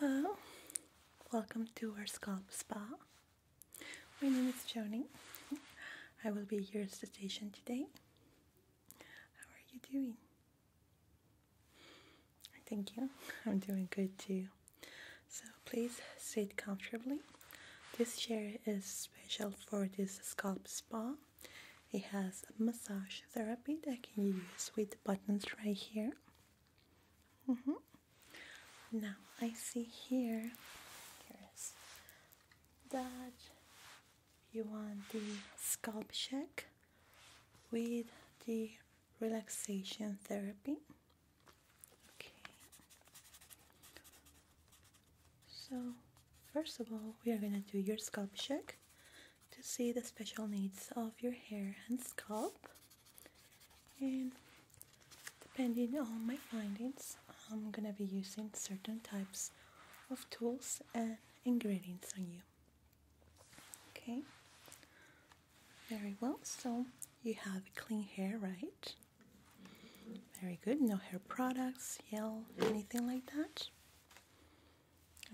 Hello, welcome to our scalp spa. My name is Joni. I will be your esthetician today. How are you doing? Thank you. I'm doing good too. So please sit comfortably. This chair is special for this scalp spa. It has massage therapy that can use with the buttons right here. Mm-hmm. Now I see here, that you want the scalp check with the relaxation therapy. Okay. So first of all, we are gonna do your scalp check to see the special needs of your hair and scalp. And depending on my findings, I'm gonna be using certain types of tools and ingredients on you. Okay, very well. So you have clean hair, right? Very good. No hair products, gel, anything like that.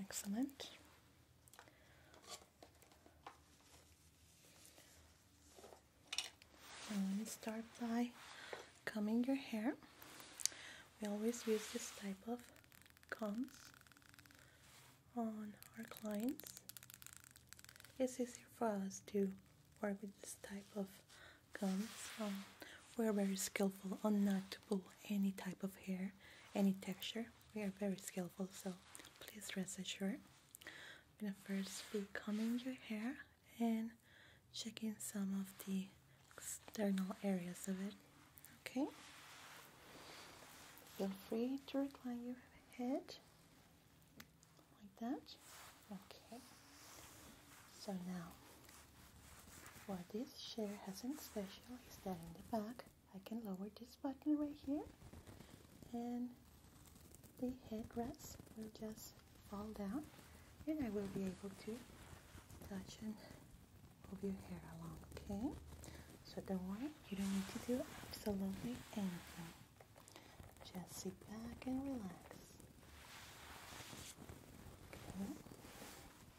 Excellent. Now let me start by combing your hair. We always use this type of combs on our clients. It's easier for us to work with this type of combs. Um, we're very skillful on that to any type of hair, any texture. We are very skillful, so please rest assured. I'm gonna first be combing your hair and checking some of the external areas of it. Okay. Feel free to recline your head like that. Okay. So now what this chair has in special is that in the back I can lower this button right here and the headrest will just fall down and I will be able to touch and move your hair along, okay? So don't worry, you don't need to do absolutely anything. Just sit back and relax. Okay.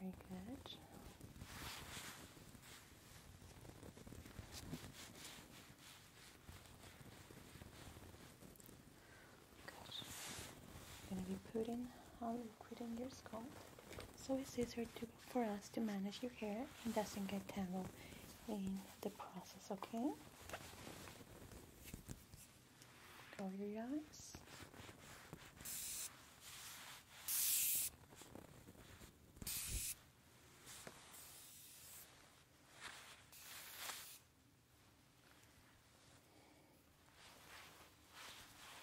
Very good. Good. I'm gonna be putting our um, liquid in your scalp so it's easier for us to manage your hair and doesn't get tangled in the process, okay? Cover your eyes.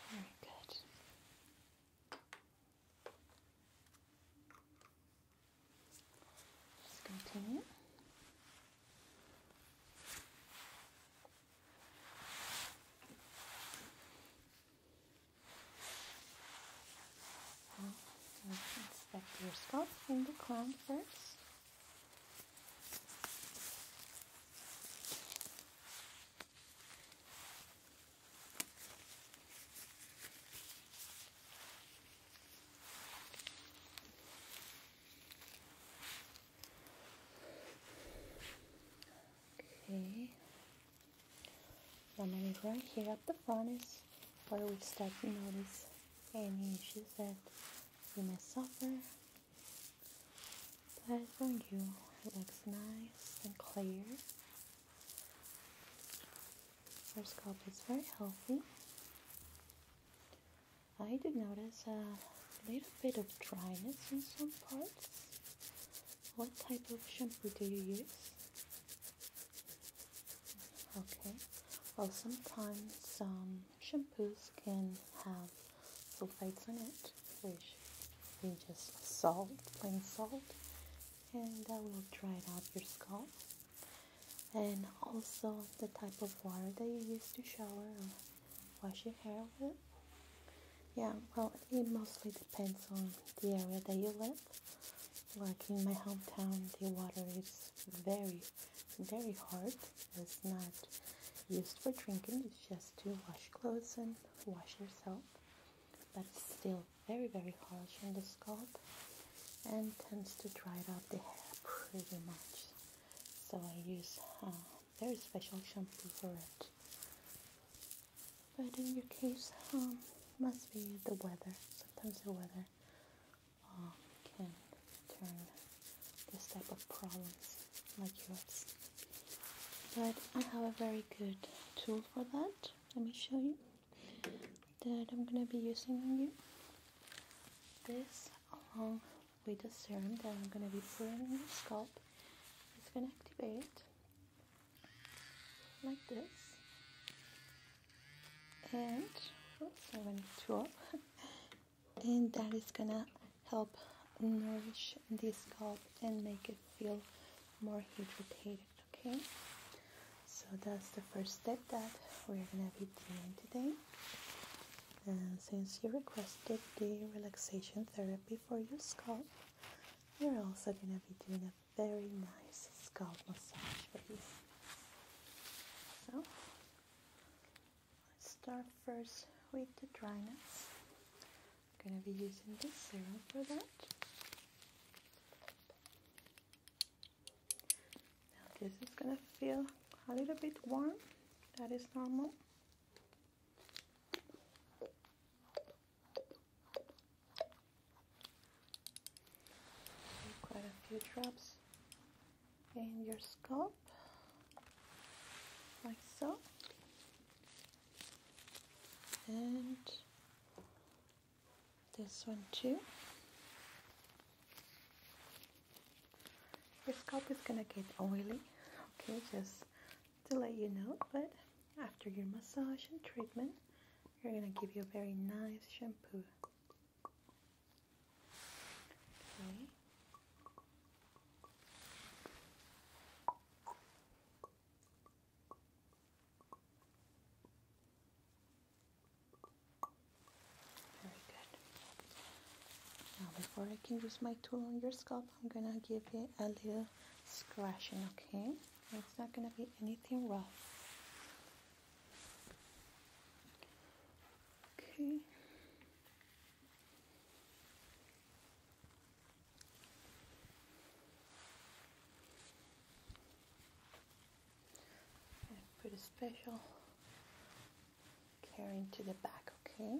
Very good. Just continue. Well, inspect your scalp and the crown first. Okay. I'm And then right here at the front is where we start to notice any issues that you may suffer. But for you, it looks nice and clear. Our scalp is very healthy. I do notice a little bit of dryness in some parts. What type of shampoo do you use? Okay, well, sometimes um, shampoos can have sulfates in it, which we just salt, plain salt, and that will dry out your scalp and also the type of water that you use to shower or wash your hair with. Yeah, well, it mostly depends on the area that you live. Like in my hometown, the water is very, very hard. It's not used for drinking, it's just to wash clothes and wash yourself. But it's still very, very harsh on the scalp and tends to dry out the hair pretty much so I use a uh, very special shampoo for it. But in your case, um, must be the weather. Sometimes the weather um, can turn this type of problems like yours. But I have a very good tool for that. Let me show you that I'm gonna be using on you. This along um, we just serum that I'm going to be putting on your scalp It's going to activate like this and oops, I went too up and that is gonna help nourish the scalp and make it feel more hydrated okay so that's the first step that we're gonna be doing today and since you requested the relaxation therapy for your scalp, we're also going to be doing a very nice scalp massage for you. So, let's start first with the dryness. I'm going to be using this serum for that. Now this is gonna feel a little bit warm. That is normal. Quite a few drops in your scalp, like so. And this one too. Your scalp is gonna get oily, okay, just to let you know, but after your massage and treatment, we're gonna give you a very nice shampoo. Very good. Now, before I can use my tool on your scalp, I'm gonna give it a little scratching, okay? It's not gonna be anything rough. Okay. put special carrying to the back, okay?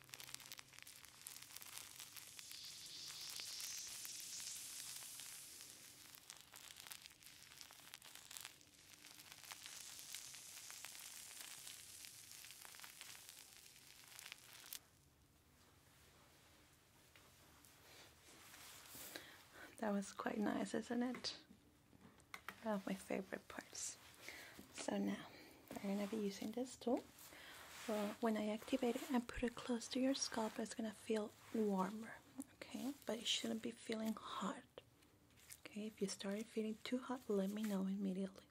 That was quite nice, isn't it? One of my favorite parts. So now I'm gonna be using this tool. when I activate it and put it close to your scalp, it's gonna feel warmer, okay? But it shouldn't be feeling hot. Okay, if you start feeling too hot, let me know immediately.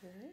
Good.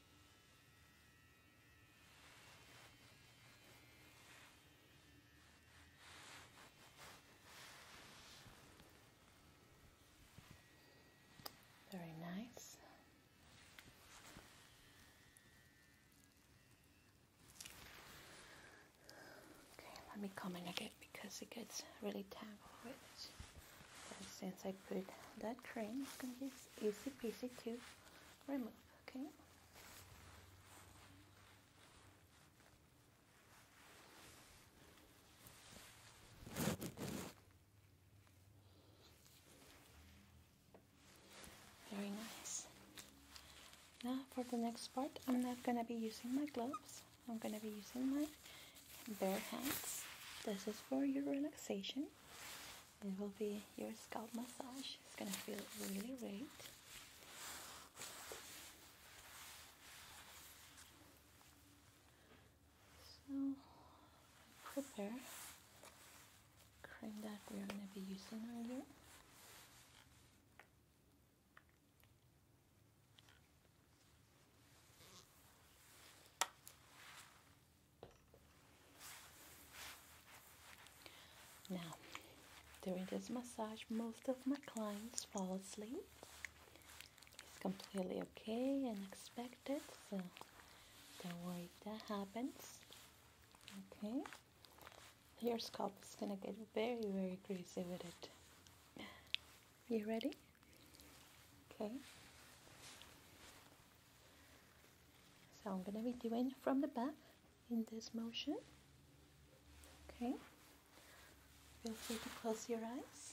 Very nice. Okay, let me come in a because it gets really tangled since I put that cream, it's gonna be easy peasy to remove, okay? Very nice. Now for the next part, I'm not gonna be using my gloves. I'm gonna be using my Bare hands. This is for your relaxation. It will be your scalp massage. It's gonna feel really great. So prepare cream that we're gonna be using earlier. Now, during this massage, most of my clients fall asleep. It's completely okay and expected, so don't worry if that happens. Okay? Your scalp is gonna get very, very greasy with it. You ready? Okay. So I'm going to be doing from the back in this motion. Okay. Feel free to close your eyes.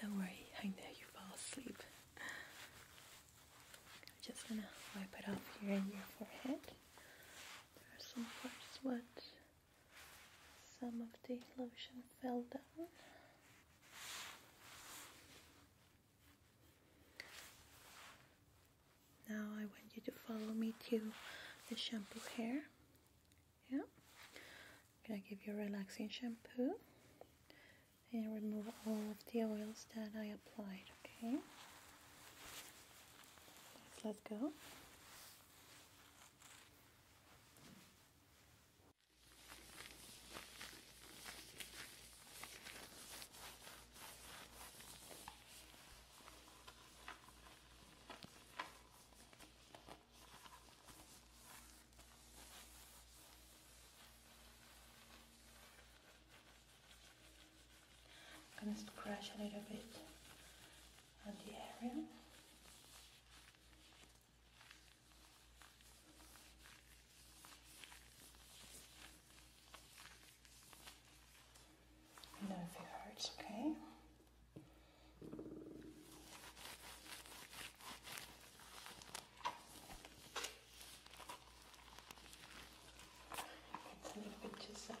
Don't worry, I know you fall asleep. I'm just gonna wipe it off here in your forehead. There are some parts what some of the lotion fell down. Now I want you to follow me to the shampoo hair. Yeah i give you a relaxing shampoo and remove all of the oils that I applied, okay? Let's go. I'm gonna scratch a little bit on the area. No, if it hurts, okay. It's a little bit Giuseppe.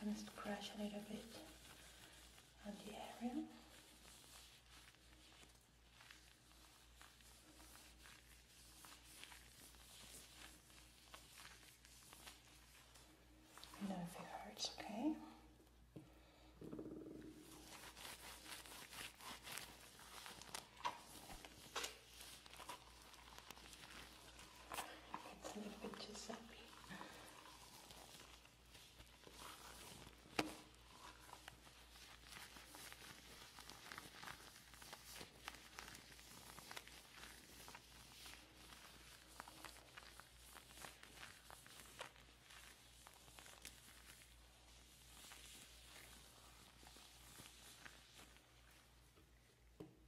I'm gonna scratch a little bit on the area. I know if it hurts, okay? It's a little bit Giuseppe.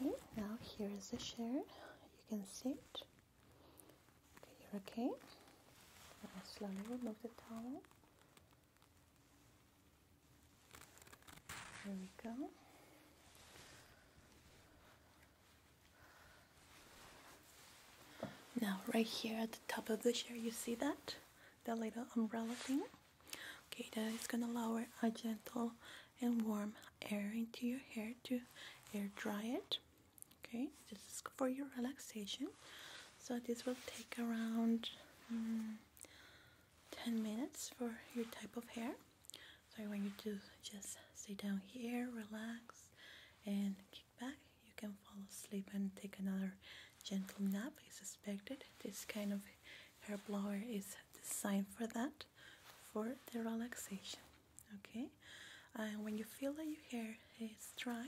Okay, now here is the chair. You can see it. Okay, you're okay. I'll slowly remove the towel. There we go. Now, right here at the top of the chair, you see that? the little umbrella thing? Okay, that is gonna lower a gentle and warm air into your hair to air dry it okay this is for your relaxation so this will take around mm, 10 minutes for your type of hair so I want you to just sit down here relax and kick back you can fall asleep and take another gentle nap is expected this kind of hair blower is designed for that for the relaxation okay and when you feel that your hair is dry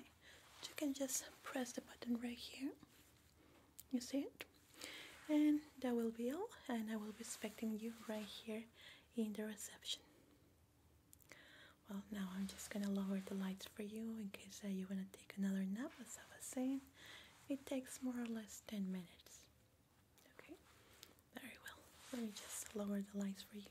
you can just press the button right here you see it and that will be all and I will be expecting you right here in the reception well now I'm just gonna lower the lights for you in case uh, you wanna take another nap as I was saying it takes more or less 10 minutes okay very well let me just lower the lights for you